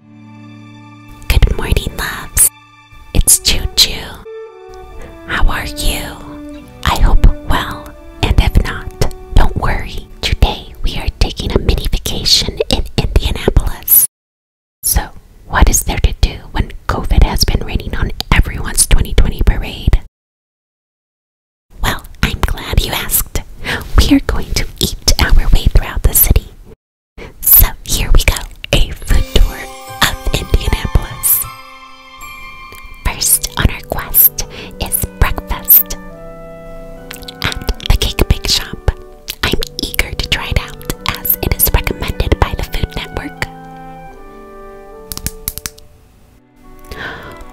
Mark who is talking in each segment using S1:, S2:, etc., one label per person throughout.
S1: Good morning, loves. It's Choo Choo. How are you? I hope well, and if not, don't worry. Today we are taking a mini vacation in Indianapolis. So, what is there to do when COVID has been raining on everyone's 2020 parade? Well, I'm glad you asked. We are going to eat our way throughout the city. So here we go, a food tour of Indianapolis. First on our quest is breakfast at the Cake Bake Shop. I'm eager to try it out as it is recommended by the Food Network.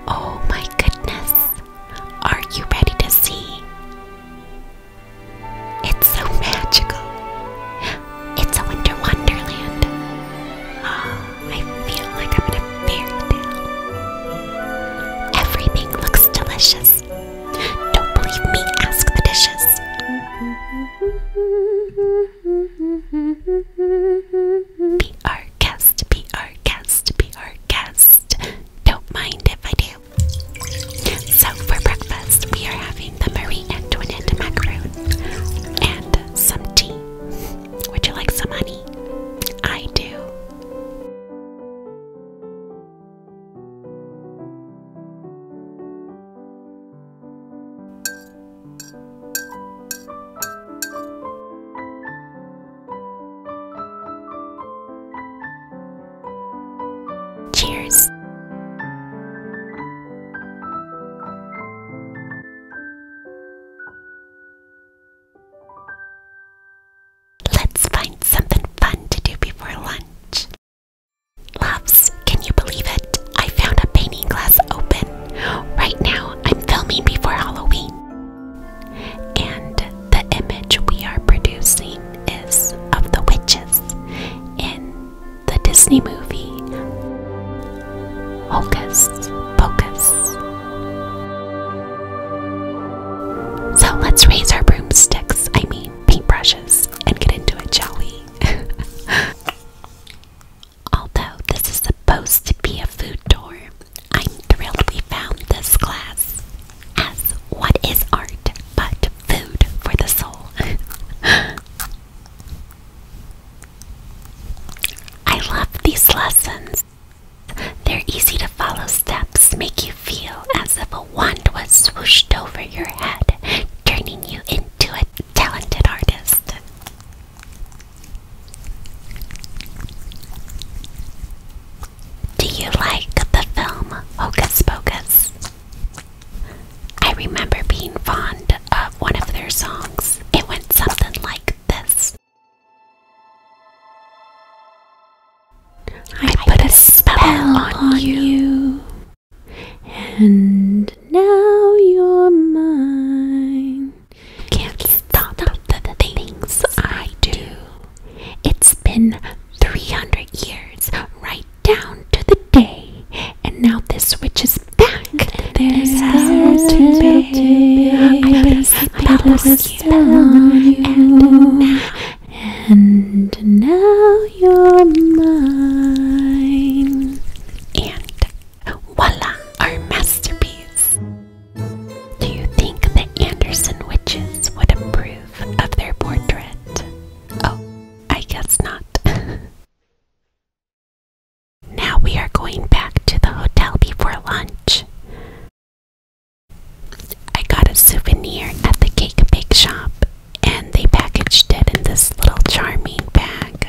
S1: Oh my goodness, are you ready to see? It's so magical. It's a winter wonderland. Ah, I feel like I'm in a fairy tale. Everything looks delicious. Don't believe me, ask the dishes. B R cast, B R cast, B R cast. Don't mind if I do. So for breakfast, we are having the Marie Antoinette macaroon and some tea. Would you like some honey? I do. Cheers. Let's find something fun to do before lunch. Loves, can you believe it? I found a painting class open. Right now, I'm filming before Halloween. And the image we are producing is of the witches in the Disney movie Hocus Pocus. So let's raise our broomsticks, I mean paintbrushes, and get into it, shall Although this is supposed to be a food tour, I'm thrilled we found this class. As what is art but food for the soul? I love these lessons. They're easy to follow steps make you feel as if a wand was swooshed over your head, turning you into a talented artist. Do you like the film Hocus Pocus? I remember being fond of one of their songs. It went something like this I put a spell on you, and now you're mine. Can't stop the things I do. It's been 300 years, right down to the day. And now this witch is back. There's no today. I placed a you. And now, and now you're mine. And Voila, our masterpiece! Do you think the Anderson witches would approve of their portrait? Oh, I guess not. now we are going back to the hotel before lunch. I got a souvenir at the cake bake shop, and they packaged it in this little charming bag.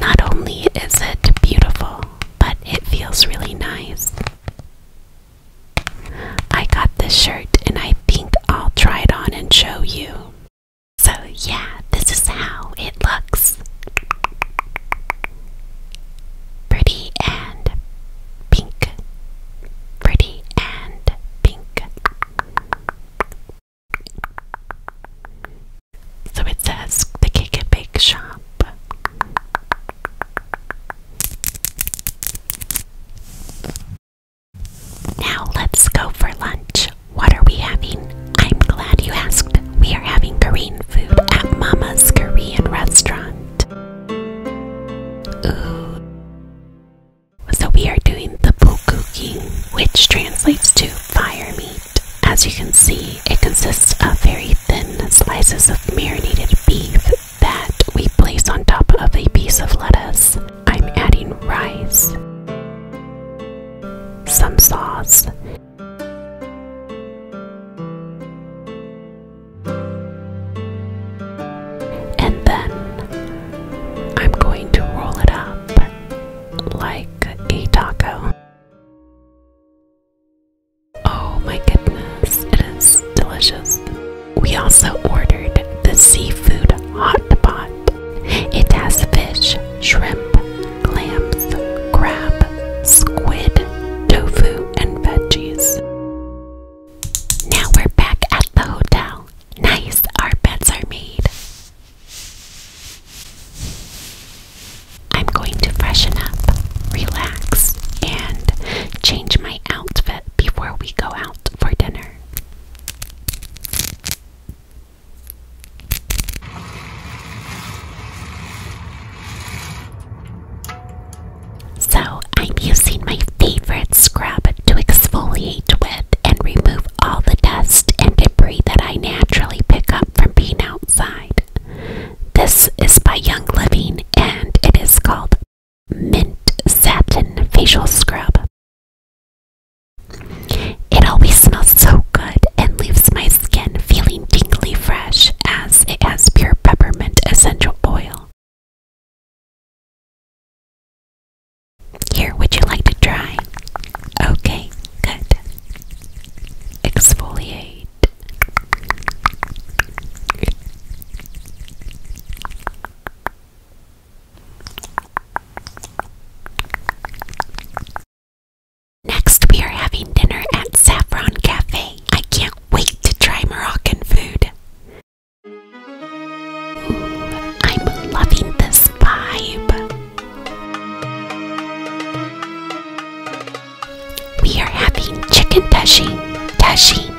S1: Not only is it beautiful, but it feels really nice. I got this shirt and I think I'll try it on and show you. So, yeah, this is how it looks pretty and pink, pretty and pink, so it says the Cake and Bake Shop. Now let's go for lunch. What are we having? I'm glad you asked. We are having Korean food at Mama's Korean restaurant. Ooh. So we are doing the bukuking, which translates to fire meat. As you can see, it consists of very thin slices of marinated beef that we place on top of a piece of lettuce. I'm adding rice, some sauce, and then I'm going to roll it up like a taco. Oh my goodness, it is delicious. We also ordered the seafood hot pot. It has fish, shrimp, clams, crab, squid, tofu, and veggies. Now we're back at the hotel. Nice, our beds are made. I'm going to freshen up, relax, and change my outfit before we go out for dinner. So, I'm using my favorite scrub to exfoliate with and remove all the dust and debris that I naturally pick up from being outside. This is by Young Living and it is called Mint Satin Facial Scrub. It always smells so good and leaves my skin feeling tingly fresh as it has pure peppermint essential oil. Here, would you like to try? Okay, good. Exfoliate. Next, we are having dinner at Saffron Cafe. I can't wait to try Moroccan food. Ooh, I'm loving this vibe. We are having chicken tashine. Tashine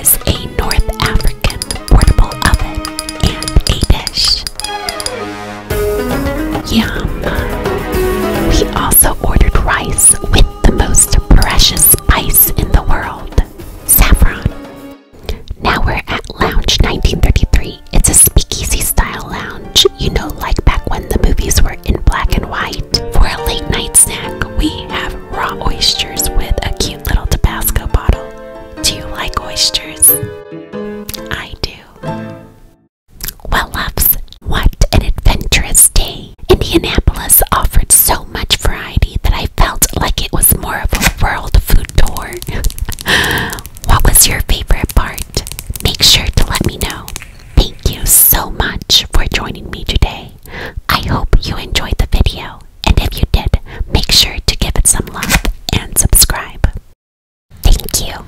S1: is a North African portable oven and a dish. Yum! We also ordered rice with the most precious spice in the world, saffron. Now we're at Lounge 1933. It's a speakeasy style lounge, you know, like back when the movies were in black and white. For a late night snack, we have raw oysters with a cute little Tabasco bottle. Do you like oysters? I do. Well, loves, what an adventurous day! Indianapolis offered so much variety that I felt like it was more of a world food tour. what was your favorite part? Make sure to let me know. Thank you so much for joining me today. I hope you enjoyed the video, and if you did, make sure to give it some love and subscribe. Thank you.